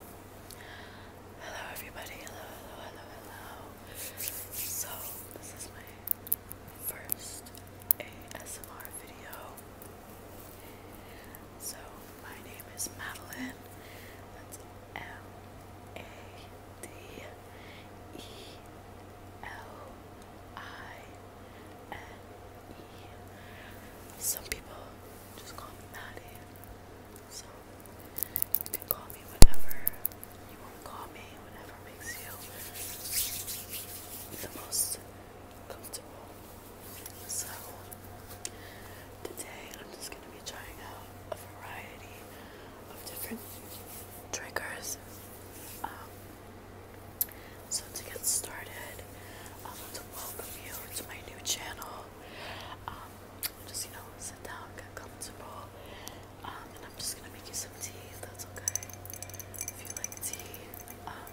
Hello everybody, hello, hello, hello, hello. So, this is my first ASMR video. So, my name is Madeline. That's M-A-D-E-L-I-N-E. -E. Some people just call me Maddie. So call me whenever you want call me, whenever makes you the most comfortable. So, today I'm just going to be trying out a variety of different triggers. Um, so, to get started, I want to welcome you to my new channel. Um, just, you know, sit down, get comfortable. Um, and I'm just gonna make you some tea that's okay. If you like tea, um,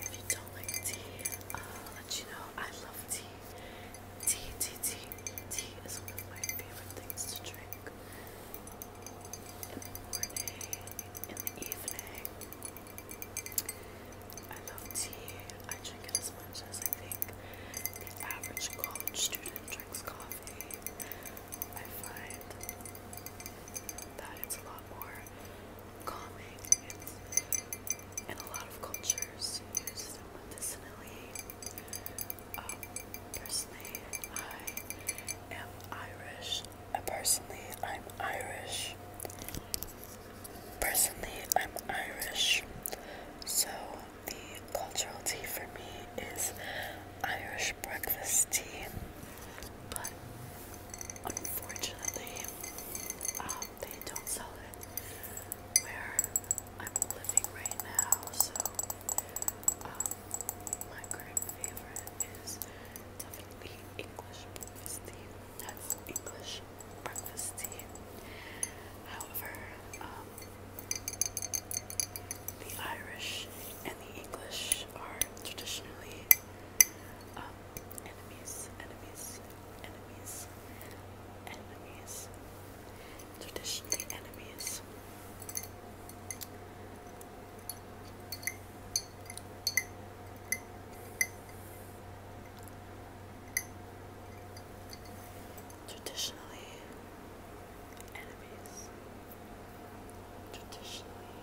if you don't like tea, uh, I'll let you know I love tea. Tea, tea, tea. Tea is one of my favorite things to drink. In the morning, in the evening, I love tea. I drink it as much as I think the average college student drinks coffee. I find that it's a lot more calming. and a lot of cultures use them medicinally. Um, personally, I am Irish. Uh, personally, I'm Irish. Personally, I'm Irish, so the cultural tea for me is Irish breakfast tea. But unfortunately, um, they don't sell it where I'm living right now. So um, my current favorite is definitely English breakfast tea. That's English breakfast tea. However, um, the Irish and the English are traditionally um, enemies, enemies, enemies, enemies, traditionally enemies. Traditionally, enemies. Traditionally,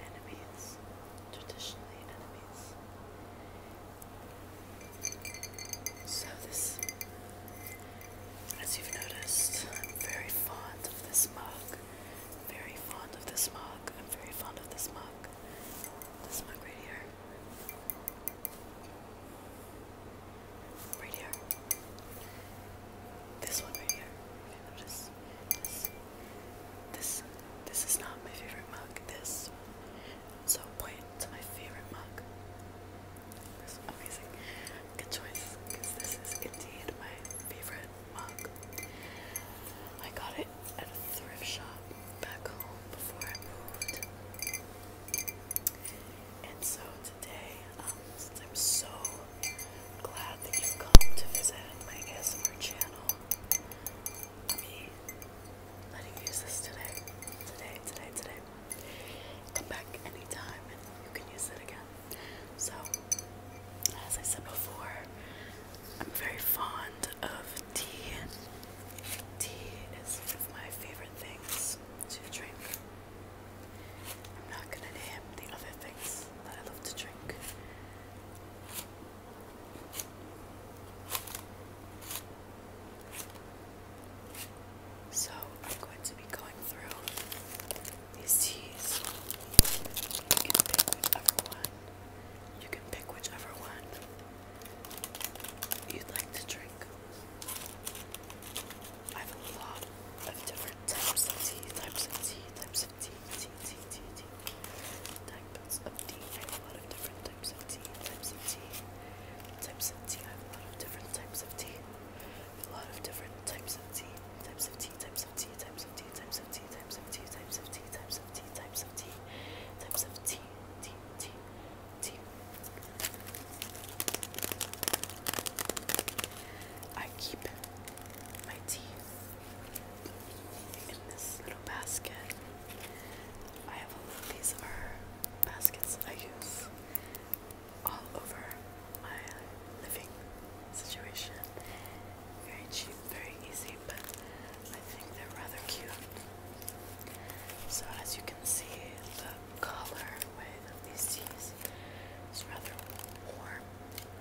enemies. Traditionally, enemies. So, this, as you've noticed, I'm very fond of this mug. Very fond of this mug. I'm very fond of this mug. This mug right here. Right here. This one right here. Okay, notice this. This this is not my favorite mug. This. So point to my favorite mug. This is amazing. Good choice, because this is indeed my favorite mug. I got it at a thrift shop back home before I moved. And so today, um, I'm so glad that you've come to visit my ASMR channel, I'll be letting you use this today. Today, today, today. Come back anytime and you can use it again. So, as I said before, I'm very fond of tea. Tea is one of my favorite things to drink. I'm not gonna name the other things that I love to drink. So I'm going to be going through these teas and one you can pick whichever one you'd like to drink. I have a lot of different types of tea, types of tea, types of tea, tea, tea, tea, tea, types of tea. I have a lot of different types of tea, types of tea, types of tea. I have a lot of different types of tea. A lot of different types of tea, types of tea, types of tea, of t times of t times of t times of t times of t times of t times of t t t t. I keep my tea in this little basket. I have a lot. These are baskets I use all over my living situation. Very cheap, very easy, but I think they're rather cute. So, as you can see, the color of these teas is rather warm,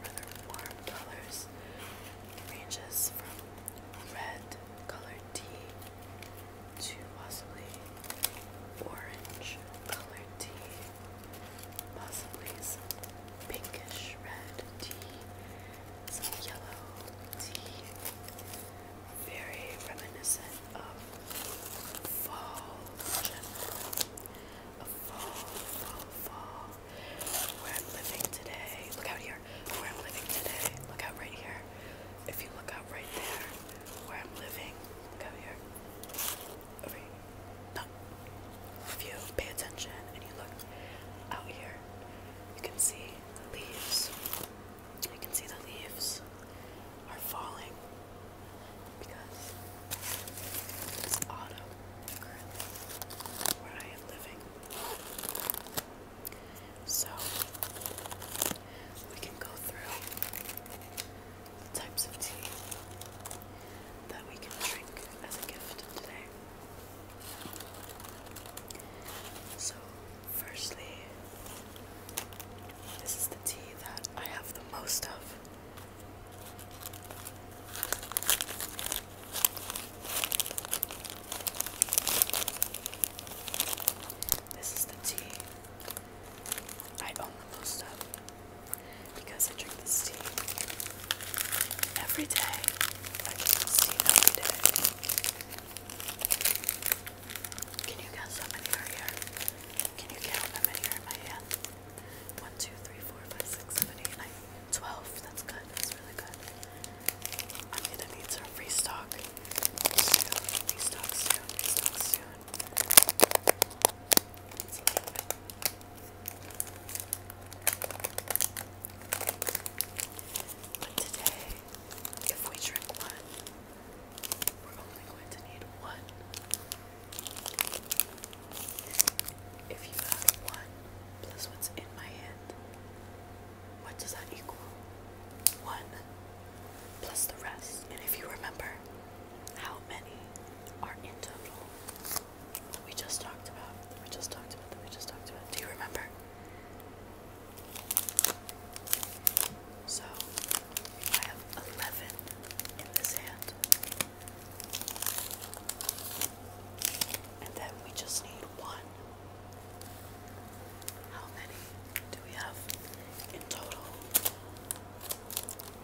rather warm colors. ranges from red colored tea to possibly orange colored tea, possibly some pinkish red tea, some yellow tea. Very reminiscent of fall Of fall, fall, fall. Where I'm living today. Look out here. Where I'm living today. Look out right here. If you look out right there, where I'm living. Look out here. Over here. No. If you pay attention and you look out here, you can see the leaves. You can see the leaves are falling because it's autumn where I am living. So we can go through the types of tea that we can drink as a gift today. So, firstly, this is the tea that I have the most of. This is the tea I own the most of because I drink this tea every day. Can you guess how many are here? Can you count how many are in my hand? 1, That's good. That's really good. I'm going to need to restock Restock soon. Restock soon. But today, if we drink one, we're only going to need one. If you add one plus what's in my hand, what does that equal? One plus the rest. And if you remember, how many are in total? we just talked about, we just talked about, we just talked about. Do you remember? So, I have 11 in this hand. And then we just need one. How many do we have in total?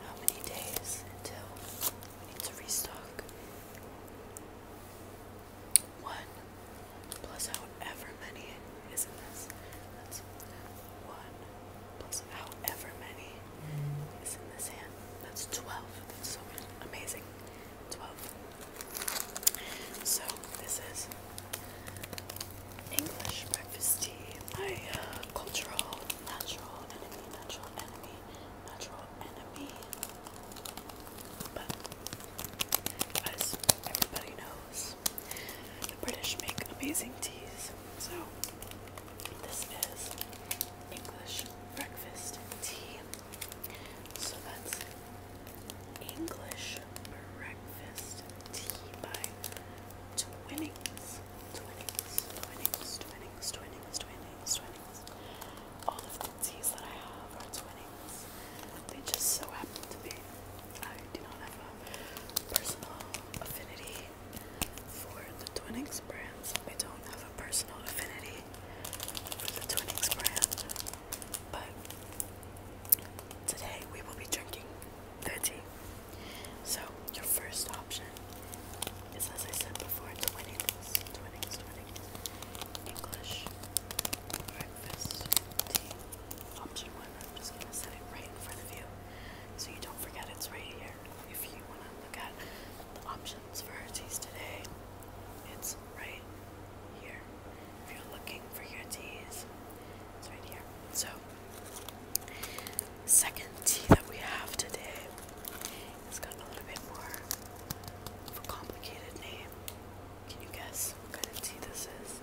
How many days until we need to restock? 1 plus however many is in this. That's 1 plus however many is in this hand. That's 12. That's so amazing. 12. So this is English breakfast tea. My uh, cultural, natural enemy, natural enemy natural enemy. But as everybody knows, the British make amazing teas. So this is English breakfast tea. So that's English breakfast tea by Twinnings. Twinnings, Twinnings, Twinnings, Twinnings, Twinnings, Twinnings. All of the teas that I have are twinnings. They just so happen to be. I do not have a personal affinity for the Twinnings brands. I don't have a personal affinity for the Twinnings brand. But today we will be drinking 30. So your first option is as I said before, Twinnings. Twinnings, English breakfast tea. Option one, I'm just gonna set it right in front of you so you don't forget it's right here. If you wanna look at the options for our teas today, it's right here. If you're looking for your teas, it's right here. So second tea that we have today it's got a little bit more of a complicated name. Can you guess what kind of tea this is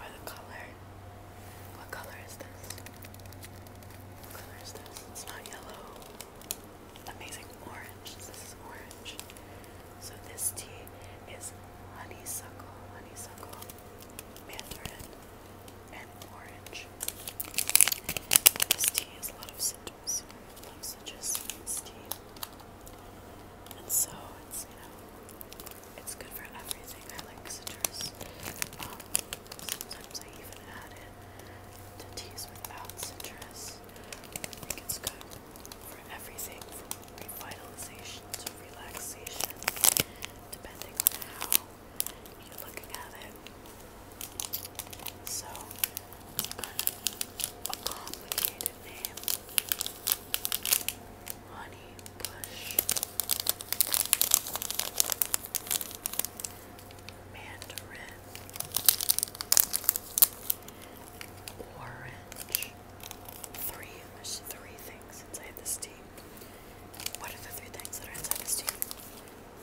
by the color? What color is this? What color is this? It's not yellow. Amazing orange. This is orange. So this tea is honeysuckle, honeysuckle, mandarin, and orange. This tea is a lot of citrus items such as steam. And so it's you know it's good for everything. I like citrus. Um, sometimes I even add it to teas without citrus. I think it's for everything from revitalization to relaxation, depending on how you're looking at it. So, kind of a complicated name. Honey Bush. Mandarin. Orange. Three. three things inside this tea. What are the three things that are inside this tea?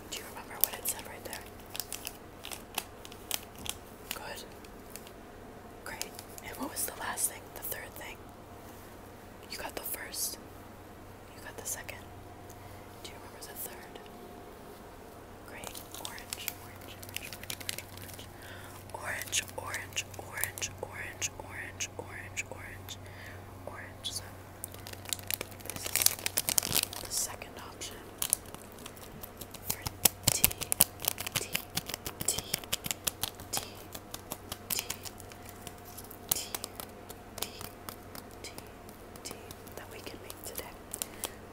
Do you remember what it said right there? Good. Great. And what was the last thing? The third thing? You got the first. You got the second. Do you remember the third? Great. Orange, orange, orange, orange, orange, orange, orange, orange, orange, orange, orange, orange. So this is the second option that we can make today.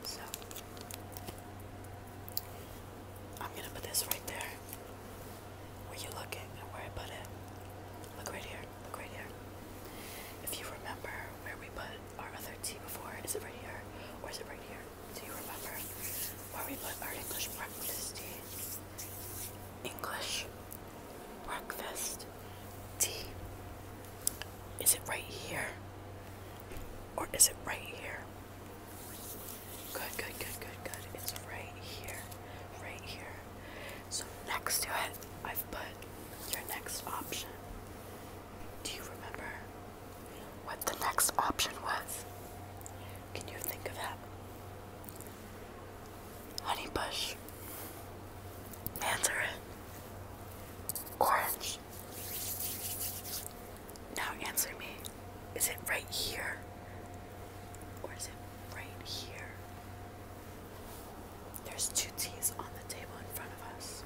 So I'm gonna put this right there. Where you looking and where I put it. Look right here. Look right here. If you remember where we put our other tea before. Is it right here? Or is it right here? Do you remember? Where we put our English breakfast tea. English breakfast tea. Is it right here? Or is it right here? Good, good, good, good, good. It's right here. Right here. So next to it, I've put your next option. Do you remember what the next option was? Can you think of that? Honeybush. Mandarin. Orange. Now answer me. Is it right here? Or is it right here? There's two teas on the table in front of us.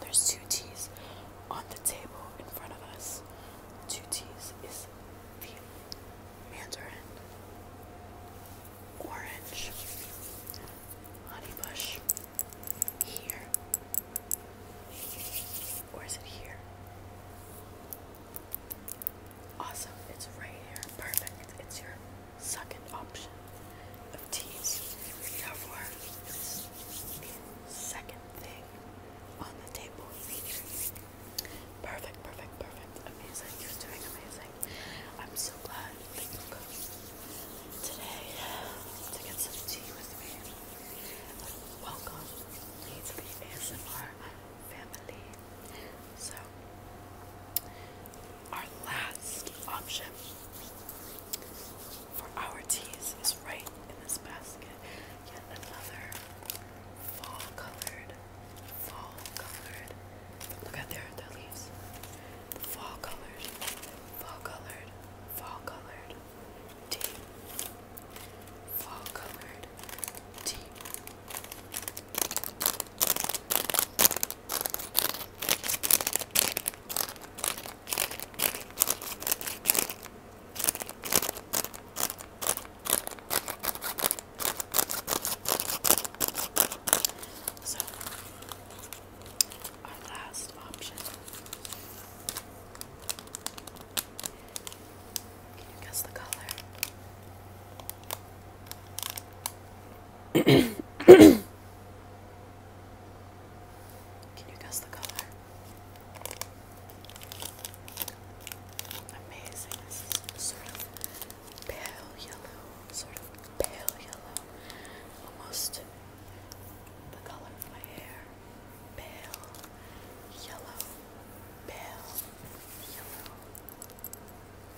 There's two teas on the table in front of us. Two teas is the mandarin, orange, honeybush, here, or is it here? Awesome, it's right here. Perfect. It's your second option of teas. Therefore, this second thing on the table. Perfect, perfect, perfect. Amazing. You're doing amazing. I'm so glad that you today to get some tea with me. Welcome me to the ASMR family. So, our last option for our teas is right in this basket. Yet another fall colored, fall colored. Look at their, their leaves. Fall colored, fall colored, fall colored tea. Fall colored tea. So, our last option. Can you guess the color? Can you guess the color? Amazing. This is sort of pale yellow, sort of pale yellow, almost the color of my hair. Pale yellow, pale yellow.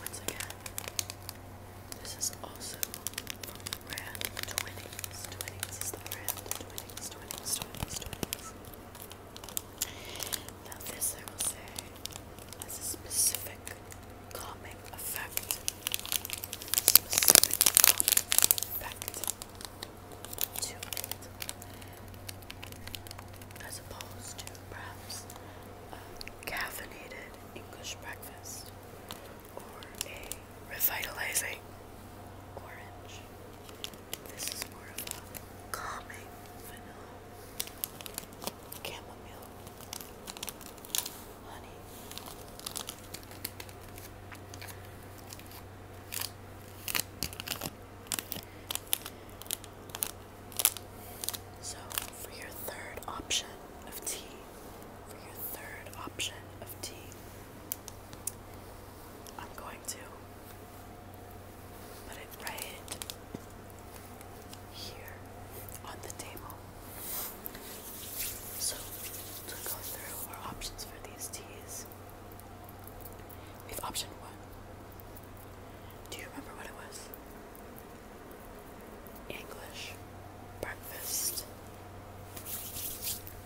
Once again, this is also from the brand is the brand Twinnings, Twinnings, Twinnings, Twinnings. Now I will say has a specific comic effect. Specific calming effect As opposed to perhaps a caffeinated English breakfast or a revitalizing orange. This is more of a calming vanilla, chamomile, honey. So, for your third option of tea, for your third option of tea, I'm going to put it right here on the table. So, to go through our options for these teas, we option one. Do you remember what it was? English breakfast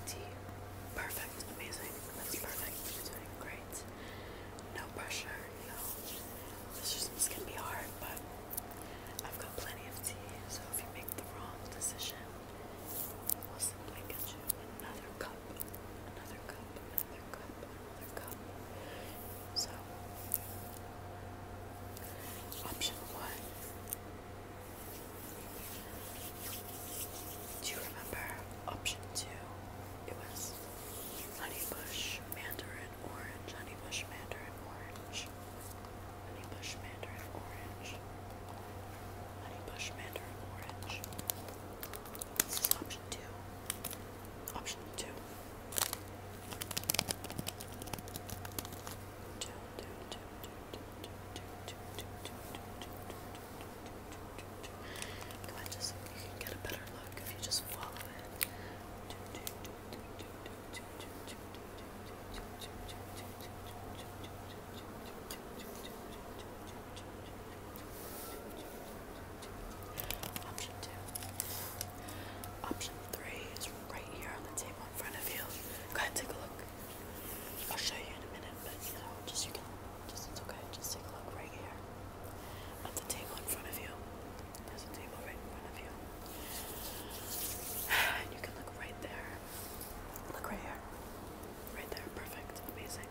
tea. Perfect, amazing. That's perfect. You're doing great. No pressure, no. This just can be hard, but I've got plenty of tea. So if you make the wrong decision, we'll simply get you another cup, another cup, another cup, another cup. So, option one. Do you remember option two? It was honeybush, mandarin, orange, honeybush, mandarin, orange, honeybush, mandarin, orange, honeybush, mandarin, orange. This is option two. Option two. Come on, just get a better look if you just follow it. Option two. Option three is right here on the table in front of you. Go ahead, take a look. I'll show you in a minute, but you know, just you can, just it's okay. Just take a look right here at the table in front of you. There's a table right in front of you, and you can look right there. Look right here, right there. Perfect, amazing.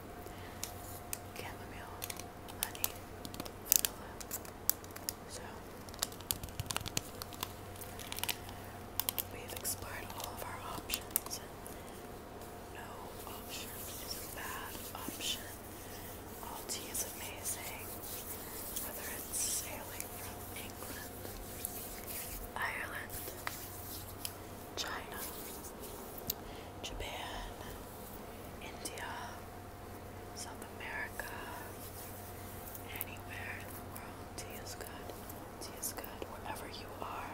Chamomile, honey, vanilla. So we've explored all of our options. No option is a bad option. All is amazing. Whether it's sailing from England, Ireland, China, Japan, India, South America, anywhere in the world. Tea is good. Tea is good. Wherever you are,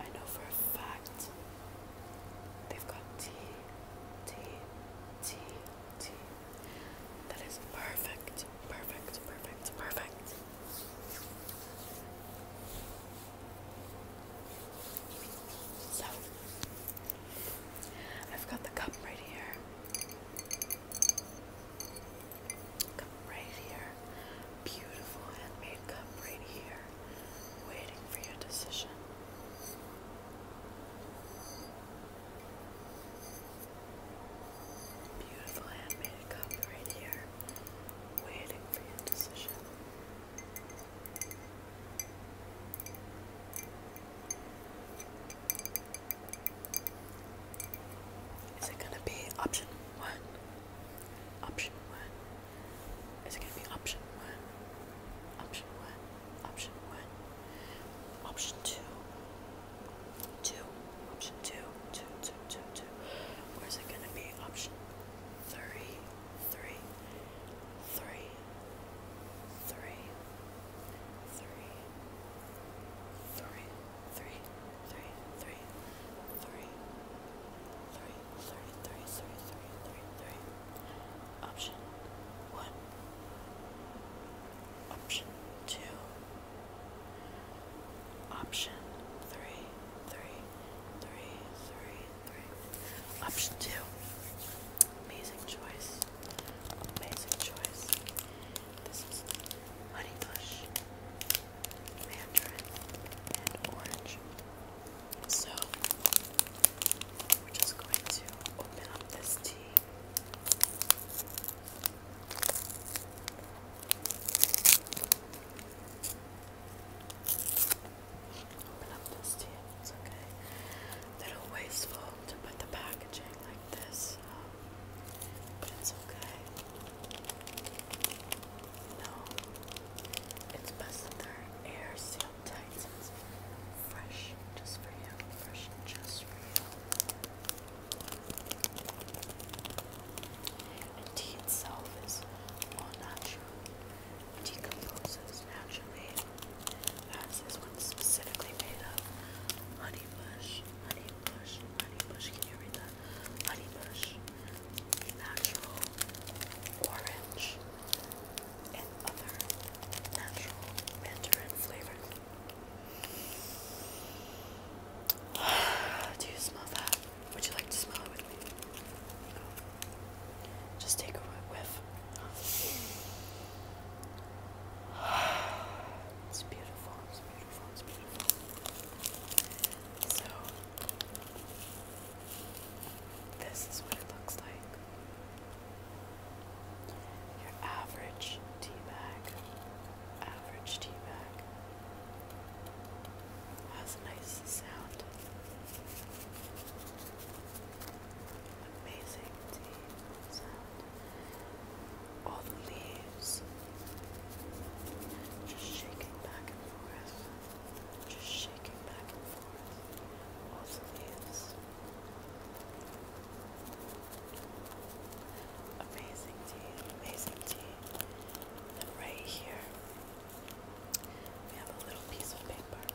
I know for a fact they've got tea, tea, tea, tea. That is perfect, perfect, perfect, perfect. So, I've got the cup right here. Cup right here. Beautiful handmade cup right here. Waiting for your decision. Beautiful handmade cup right here. Waiting for your decision. Is it gonna be option one? Option one. Is it gonna be option one? Option one. Option one. Option two. Two. Option two. Two. Two. Two. Two. Or is it gonna be option three? Three. Three three, three, three, three, three, three, three, three, three, three, three, three, three, three. Option one. Option two. Option three, three, three, three, three. Option two. Amazing choice. Amazing choice. This is honeybush, mandarin, and orange. So we're just going to open up this tea. Open up this tea. It's okay. A little wasteful to put the packaging like this, um, but it's okay. No, it's best that they're air sealed tight so it's fresh just for you, fresh just for you. And tea itself is all natural. Decomposes naturally this one's specifically made of honey bush, honey Can you read that? Honey natural orange, and other natural mandarin flavors. Do you smell that? Would you like to smell it with me? Just take a whiff. It's beautiful, it's beautiful, it's beautiful. So, this is what it looks like. Your average tea bag, average tea bag, has a nice sound. Amazing tea all the leaves just shaking back and forth, just shaking back and forth. All the leaves. Amazing tea, amazing tea. right here, we have a little piece of paper.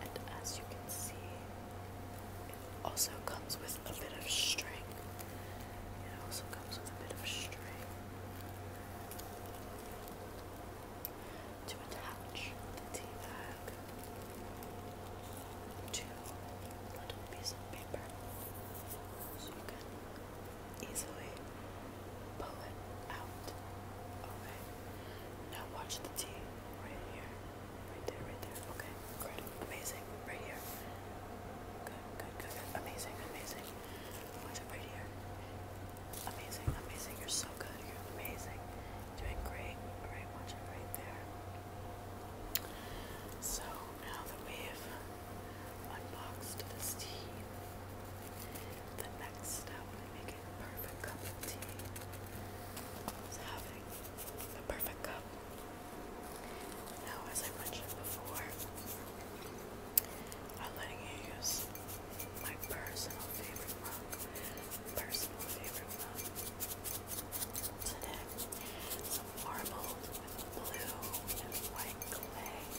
And as you can see, it also comes with a bit of string. It also comes with a bit of string to attach the tea bag to a little piece of paper so you can easily pull it out. Okay. Now watch the T right here. Right there, right there. Okay, great. Amazing. Right here. Good, good, good, Amazing, amazing. Watch it right here. Amazing, amazing. You're so good. You're amazing. Doing great. Alright, watch right there. So now that we have unboxed this tea, the next step in making a perfect cup is having the perfect cup. Now, as I mentioned before, I'm letting you use my personal favorite mug, personal favorite mug today. Some marbled blue and white clay.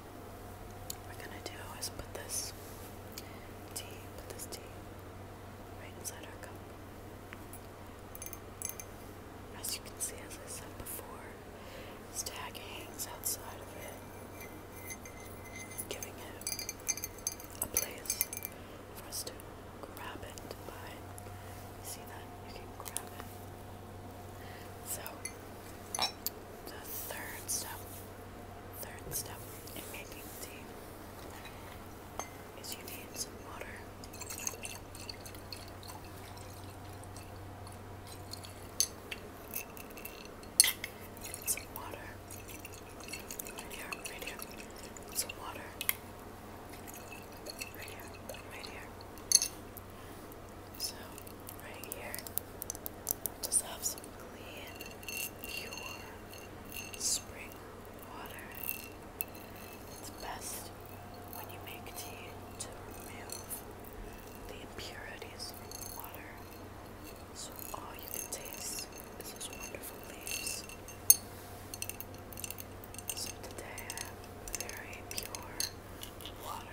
we're gonna do is put this tea, put this tea right inside our cup. As you can see, as I said before, this tag hangs outside of it, giving it a place for us to grab it by. see that? You can grab it. So, the third step, third step in making tea is you need some water. Some water. Right here, right here. Some water. Right here, right here. So, right here, we just have some clean, pure spring water. It's best when you make tea to remove the impurities from the water. So, all you can taste is those wonderful leaves. So, today I have very pure water.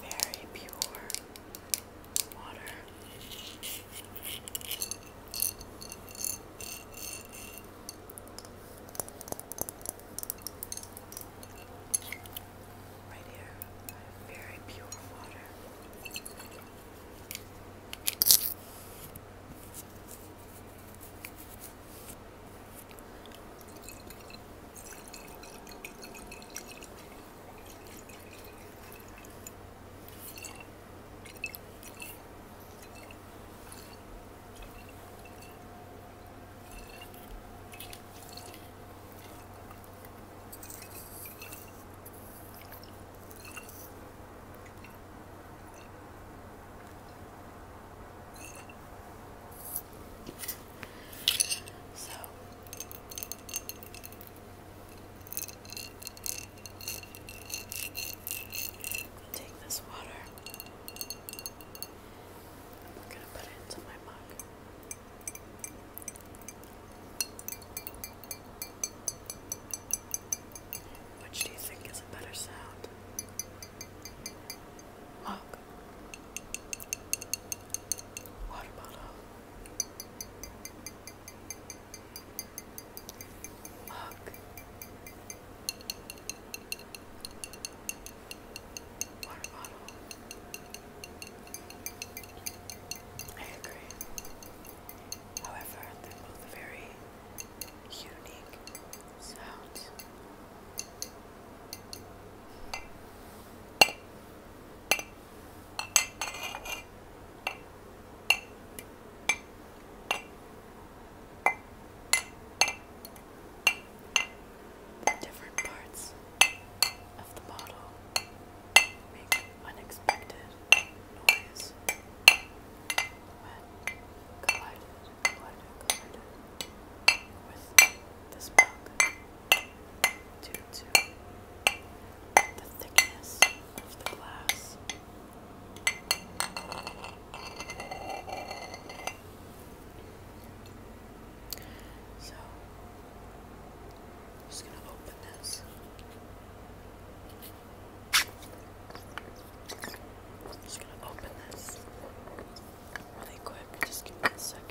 Very pure water right here. Very pure water. So I'm take this water. I'm gonna put it into my mug. Which do you think is a better sound? Mug, water bottle, mug, Water bottle. I agree. However, they're both very unique sounds. The different parts of the bottle make unexpected noise when collided, with this book due to the thickness of the glass. So, I'm just gonna open this. just gonna open this really quick. Just give me a second.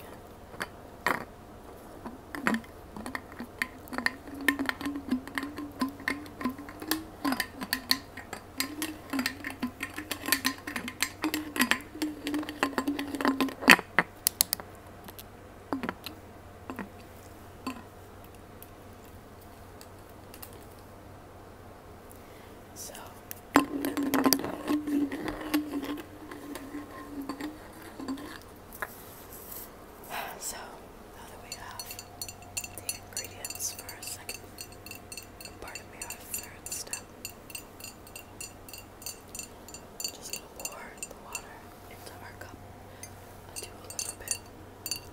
So so now that we have the ingredients for our second part of our third step just gonna pour the water into our cup. I'll do a little bit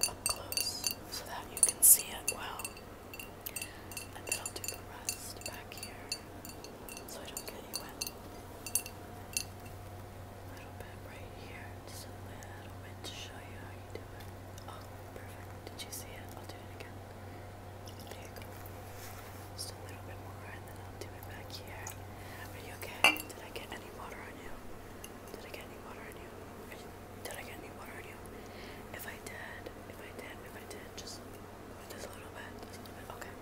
up close so that you can see it well. And then I'll do the rest back here so I don't get you wet. A little bit right here, just a little bit to show you how you do it. Oh, perfect. Did you see it? I'll do it again. Are you okay? Did I get any water on you? Did I get any water on you? did I get any water on you? If I did, if I did, if I did, just with this little bit, Okay.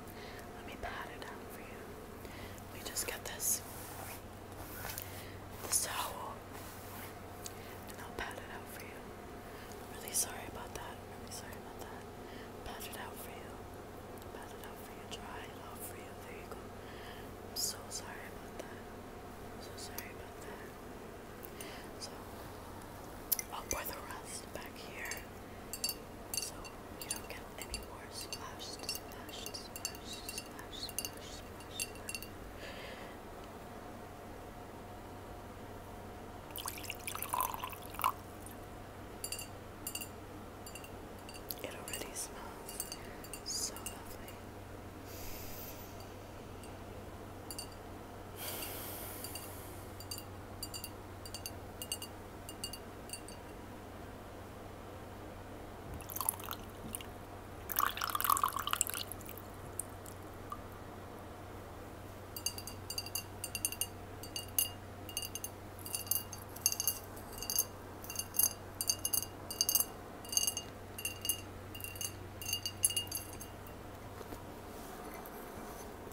Let me pat it out for you. We just get this this towel. And I'll pat it out for you. I'm really sorry about that. I'm really sorry about that. Pat it out for you. Pat it out for you. Dry it out for you. There you go. I'm so sorry about that. I'm so sorry about that. So, I'll pour the rest back here. So you don't get any more splashed, splashed, splashed, splashed, splashed, splashed. splashed. It already smells so lovely.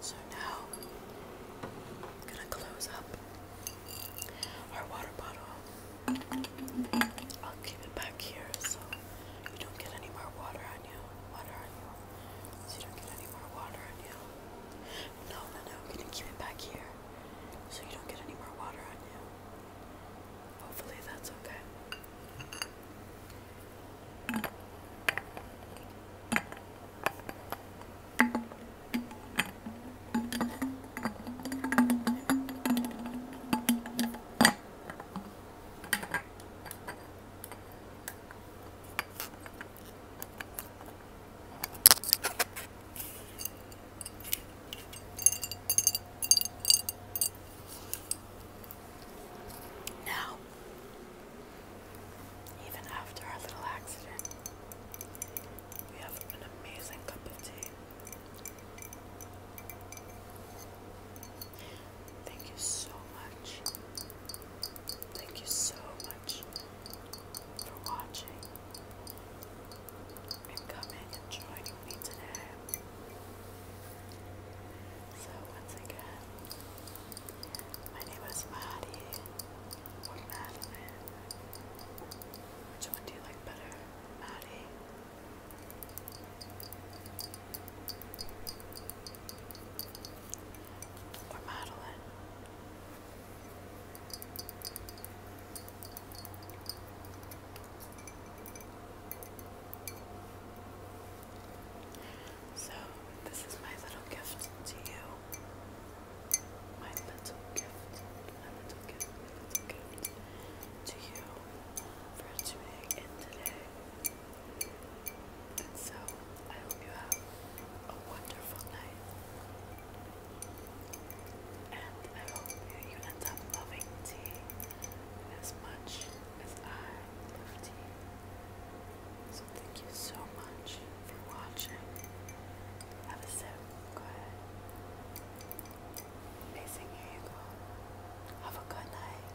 So now I'm going to close up our water bottle. I'll keep it back here so you don't get any more water on you. Water on you. So you don't get any more water on you. No, no, no. We're gonna keep it back here so you don't get any more water on you. Hopefully, that's okay. Now, even after our little accident, we have an amazing cup of tea. Thank you so much. Thank you so much for watching and coming and joining me today. So, once again, my name is Maddie or Madeline. Which one do you like better, Maddie? Or Madeline. So, this is my little gift to you. My little gift. little gift. little gift to you for today so, I hope you have a wonderful night. And I hope you end up loving tea as much as I love tea. So, thank you so much for watching. Have a sip. Go ahead. Amazing, here Have a good night.